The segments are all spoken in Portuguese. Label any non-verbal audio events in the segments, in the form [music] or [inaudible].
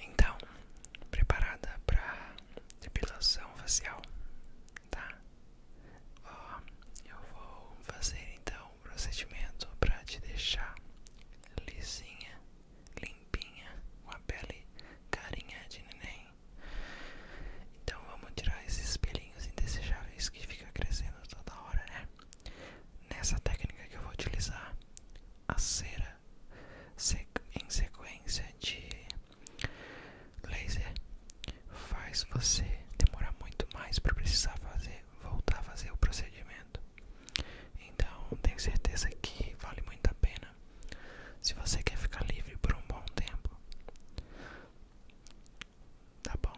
Então, preparada para depilação facial, tá? Ó, eu vou fazer então o um procedimento para te deixar lisinha limpinha, com a pele carinha de neném. Então vamos tirar esses pelinhos indesejáveis que fica crescendo toda hora, né? Nessa técnica que eu vou utilizar, a cera em sequência de laser faz você demorar muito mais para precisar fazer, voltar a fazer o procedimento. Então, tenho certeza que vale muito a pena se você quer ficar livre por um bom tempo, tá bom?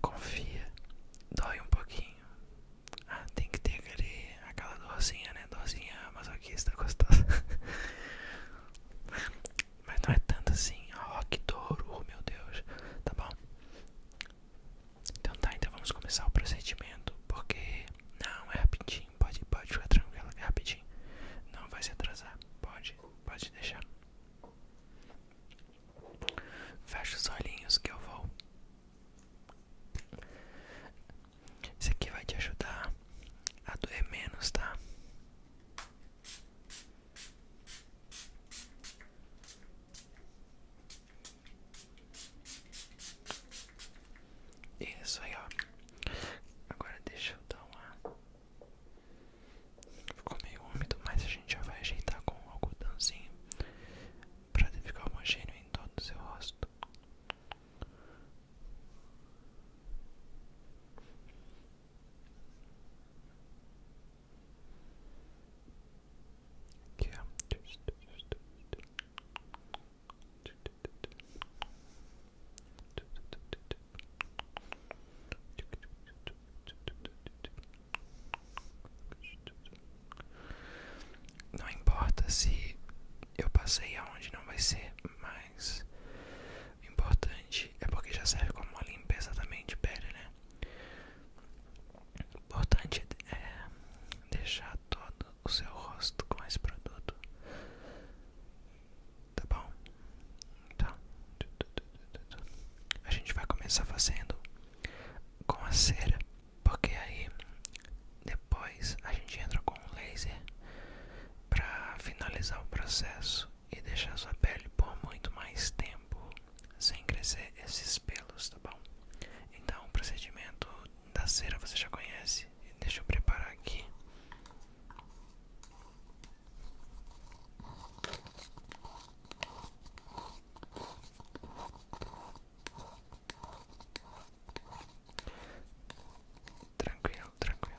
Confia, dói um pouquinho. Ah, tem que ter aquele, aquela dorzinha, né? Dorzinha masoquista tá gostosa. [laughs] Mas não é tanto assim. Ó, oh, ah, que dor, oh, meu Deus. Tá bom? Então tá, então vamos começar o procedimento. Porque não é rapidinho pode, pode ficar tranquilo, é rapidinho. Não vai se atrasar, pode, pode deixar. Fecha os olhinhos que eu vou. Isso aqui vai te ajudar a doer menos, tá? Isso aí, ó. Agora deixa eu dar uma. Ficou meio úmido, mas a gente já vai ajeitar com um algodãozinho pra ficar homogêneo em todo o seu rosto. Aqui, ó. Não importa se eu passei aonde não vai ser, mais importante é porque já serve como uma limpeza também de pele, né? O importante é deixar todo o seu rosto com esse produto. Tá bom? Então, a gente vai começar fazendo com a cera, porque aí depois a gente entra com o laser para finalizar o processo e deixar sua pele por muito mais tempo sem crescer esses pelos, tá bom? Então o procedimento da cera você já conhece. Deixa eu preparar aqui. Tranquilo, tranquilo.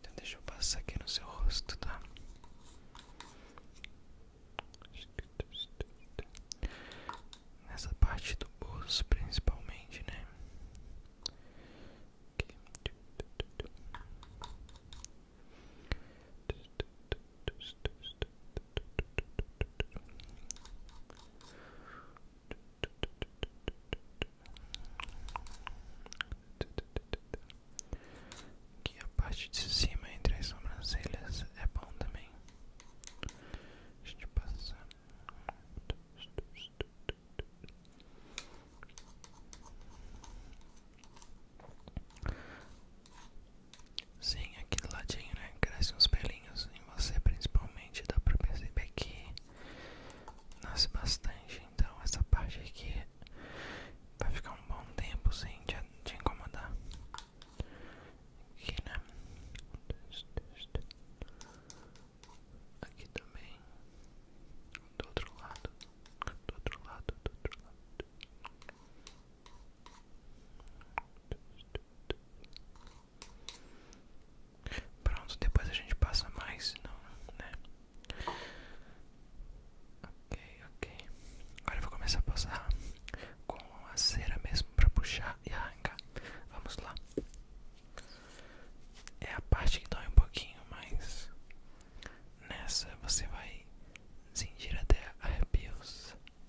Então deixa eu passar aqui no seu rosto, tá? Nessa parte do bolso principalmente, né? Aqui que a parte de cima entre as sobrancelhas é bom também. A gente passa. Sim, aqui do ladinho, né? Cresce uns pelinhos em você, principalmente. Dá pra perceber que nasce bastante. Então, essa parte aqui vai ficar um bom tempo sem te, te incomodar. Aqui, né? Aqui também. Do outro lado. Do outro lado, do outro lado. Pronto, depois a gente passa mais, não, né? Ok, ok. Agora eu vou começar a passar com a cera mesmo para puxar e arrancar. Vamos lá. É a parte que dói um pouquinho, mas nessa você vai sentir até arrepios.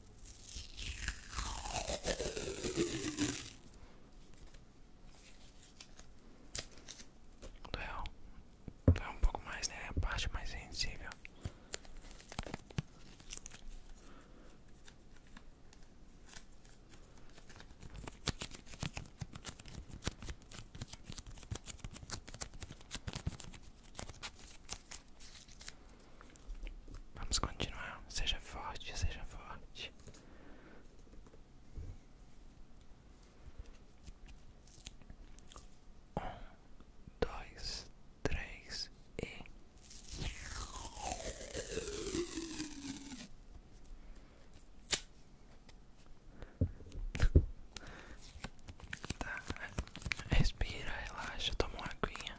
Doeu, doeu é é um pouco mais, né? A parte mais sensível. Vamos continuar. Seja forte, seja forte. Um, dois, três e. Tá. respira, relaxa, toma uma aguinha.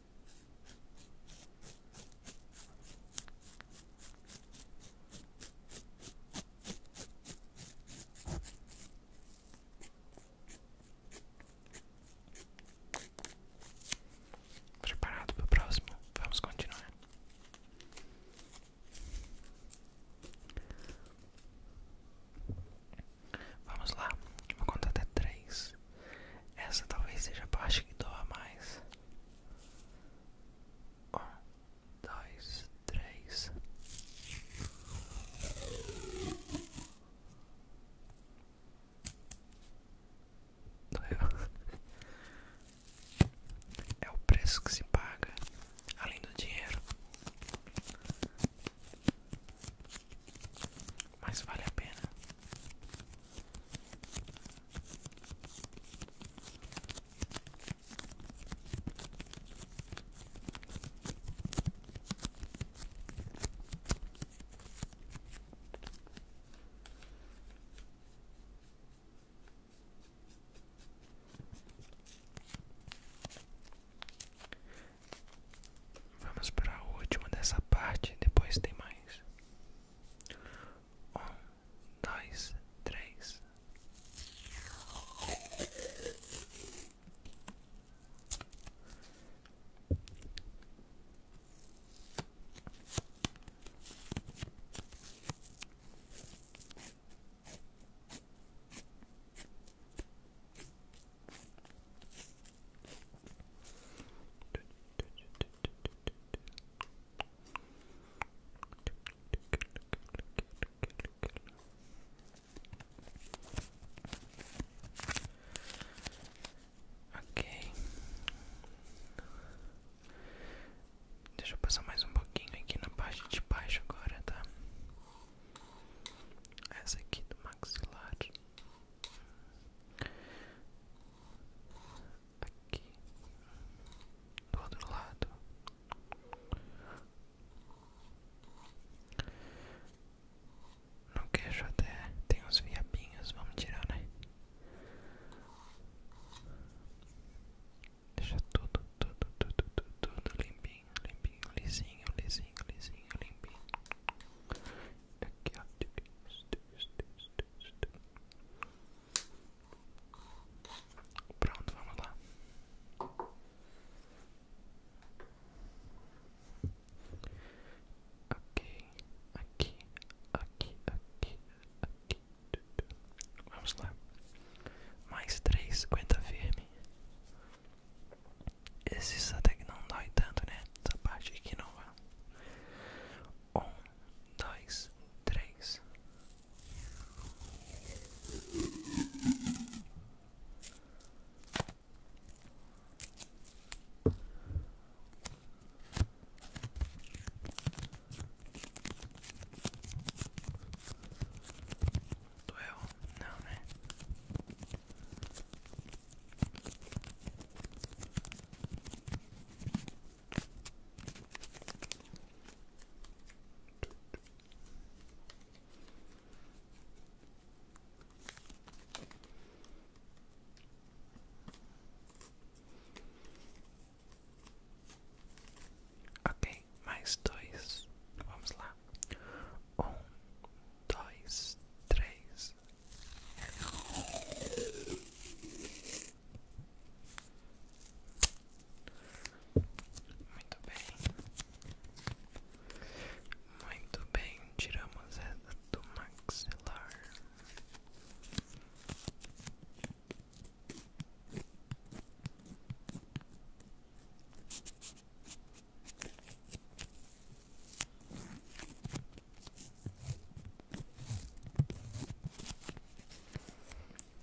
Preparado para o próximo? Vamos continuar. Vamos lá, vou contar até três. Essa talvez seja a parte que doa mais. Um, dois, três. É o preço que se paga, além do dinheiro, mas vale a pena. Vamos para a última dessa parte, depois tem mais. Um, dois, três. Ok, deixa eu passar mais um pouquinho aqui na parte de baixo agora, tá? Essa aqui do maxilar. Aqui do outro lado. No queixo até tem uns viabinhos, vamos tirar, né? Deixa tudo, tudo, tudo, tudo, tudo limpinho limpinho, limpinho, lisinho, lisinho, lisinho, limpinho. Aqui, ó. Pronto, vamos lá. Ok, aqui, aqui, aqui, aqui. Vamos lá. Mais três, aguenta firme. Esses até que não dói tanto, né? Essa parte aqui não vai. Um, dois, três. Doeu? Não, né? Ok, mais dois. Vamos lá. Um, dois, três. Muito bem, muito bem. Tiramos essa do maxilar.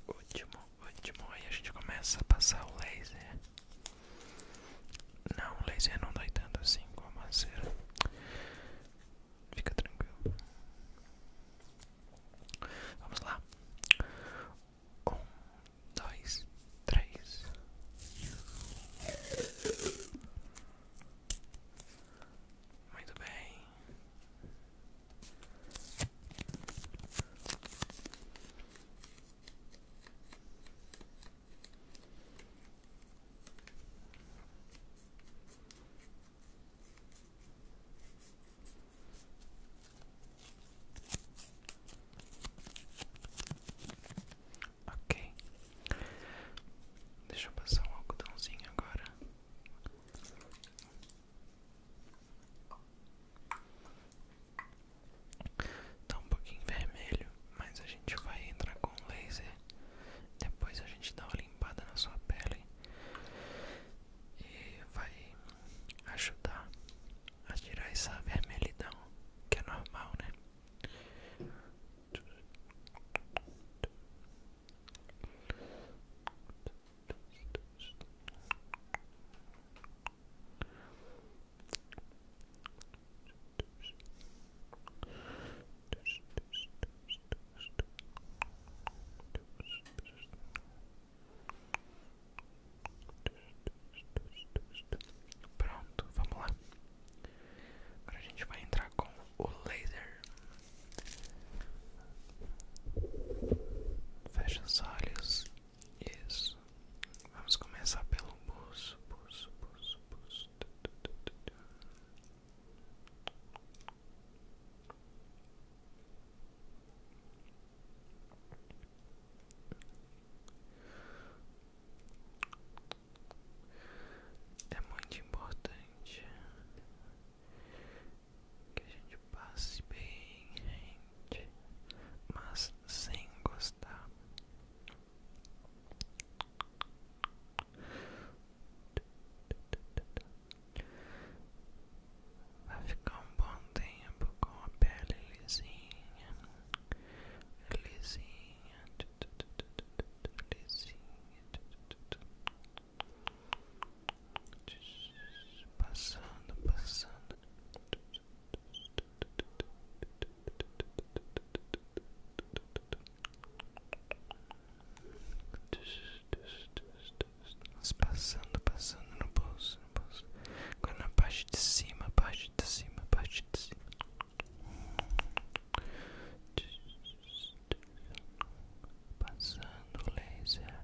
Último, último, aí a gente começa a passar o laser. Não, o laser não dói tanto assim como a cera. Fica tranquilo. Vamos lá. Um, dois, três. Muito bem. Ok, deixa eu passar um algodãozinho agora. Tá um pouquinho vermelho, mas a gente vai entrar com um laser. Depois a gente dá uma limpada na sua pele e vai ajudar a tirar essa vermelhidão que é normal, né? Pronto, vamos lá. Agora a gente vai entrar com o laser. Fecha os olhos. Isso. Vamos começar pelo buço, buço, buço, buço. É muito importante que a gente passe bem, gente, mas sem gostar. Vai ficar um bom tempo com a pele lisinha, lisinha, lisinha, passando, passando passando, passando no bolso, no bolso. na parte de cima, parte de cima, parte de cima. Passando o laser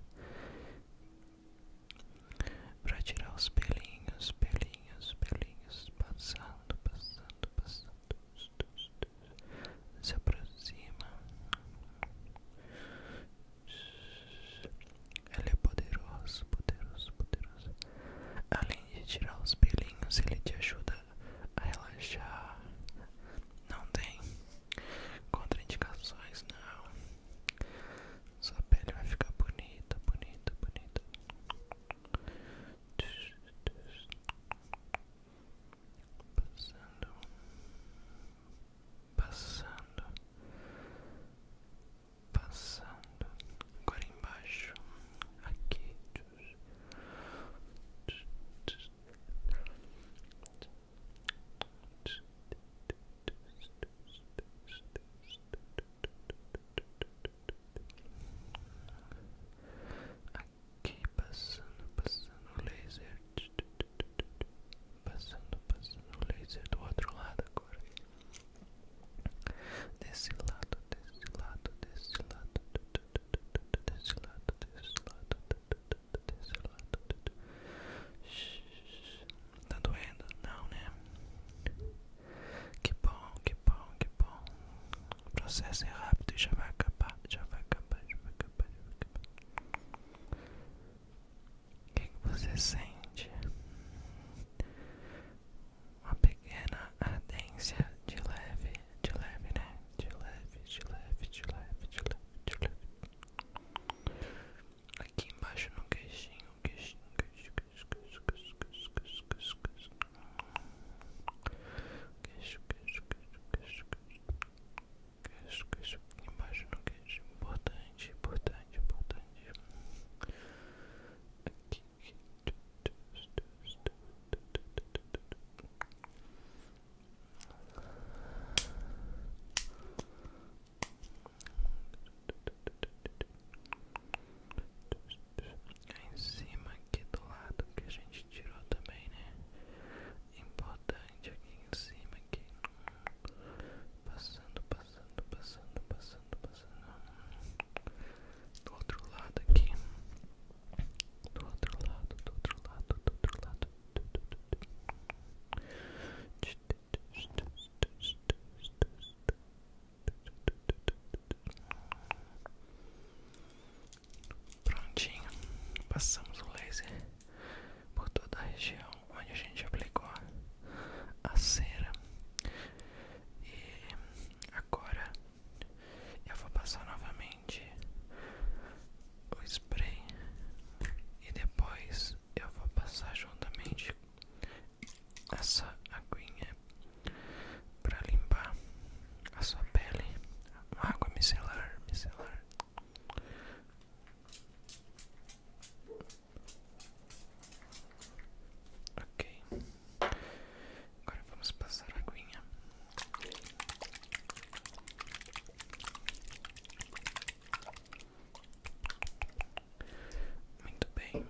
para tirar os pelinhos, pelinhos, pelinhos. Passando, passando, passando. Se aproxima. Ele é poderoso, poderoso, poderoso. Além de tirar os pelinhos, ele te ajuda a relaxar. Não tem contraindicações, não. Sua pele vai ficar bonita, bonita, bonita. Passando passando, passando, agora embaixo, aqui, aqui passando, passando o laser. Aqui, Passando, passando o laser do outro lado agora. Desse lado, desse lado, desse lado, desse lado, desse lado, desse lado. Tá doendo? Não, né? Que bom, que bom, que bom. O processo é rápido e já vai acabar, já vai acabar, já vai acabar, já vai acabar. O que, você sente? Uma pequena ardência de leve, de leve, né? De leve, de leve, de leve, de leve, de leve. Aqui embaixo no queixinho, queixinho, queixinho, queixinho, queixinho, queixinho, queixinho, queixinho, queixinho. Queixo, queixo, queixo, queixo, queixo queixo, queixo, embaixo no queixo, importante, importante, importante. aqui. Em cima aqui do lado que a gente tirou também, né? Importante aqui em cima aqui. Passando, passando, passando, passando, passando. Do outro lado aqui. Do outro lado, do outro lado, do outro lado. Prontinho, passamos o laser por toda a região onde a gente aplicou a cera. E agora eu vou passar novamente o spray e depois eu vou passar juntamente essa aguinha para limpar a sua pele, uma água micelar, micelar. Ok, agora vamos passar a aguinha. Muito bem,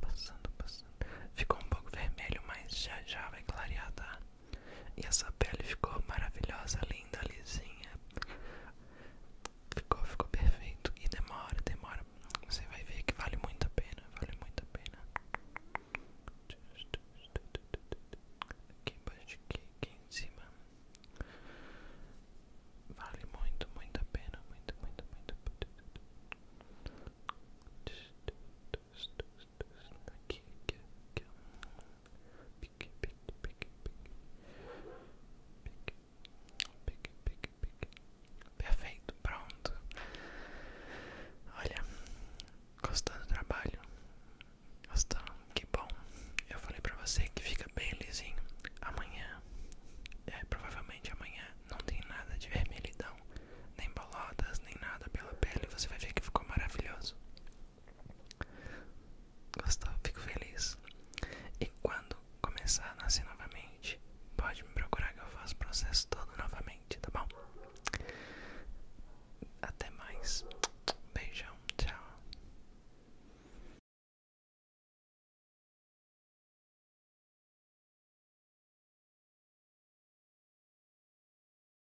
passando, passando. Ficou um pouco vermelho, mas já já vai clarear, tá? E essa pele ficou maravilhosa, linda, lisinha. Ficou, ficou perfeito. E demora, demora. Você vai ver que vale muito a pena. Vale muito a pena. Aqui embaixo, aqui, aqui em cima. Vale muito, muito a pena. Muito, muito, muito. Aqui, aqui, aqui pique, pique, pique, pique. Pique, pique, pique. Perfeito, pronto. Olha, gostando do trabalho? Gostando, que bom. Eu falei pra você que fica bem lisinho. Amanhã, é, provavelmente amanhã, não tem nada de vermelhidão, nem bolotas, nem nada pela pele. Você vai ver que ficou maravilhoso. Gostou? Fico feliz. E quando começar a nascer novamente, pode me procurar que eu faço o processo todo novamente, tá bom? Até mais. Beijão, tchau.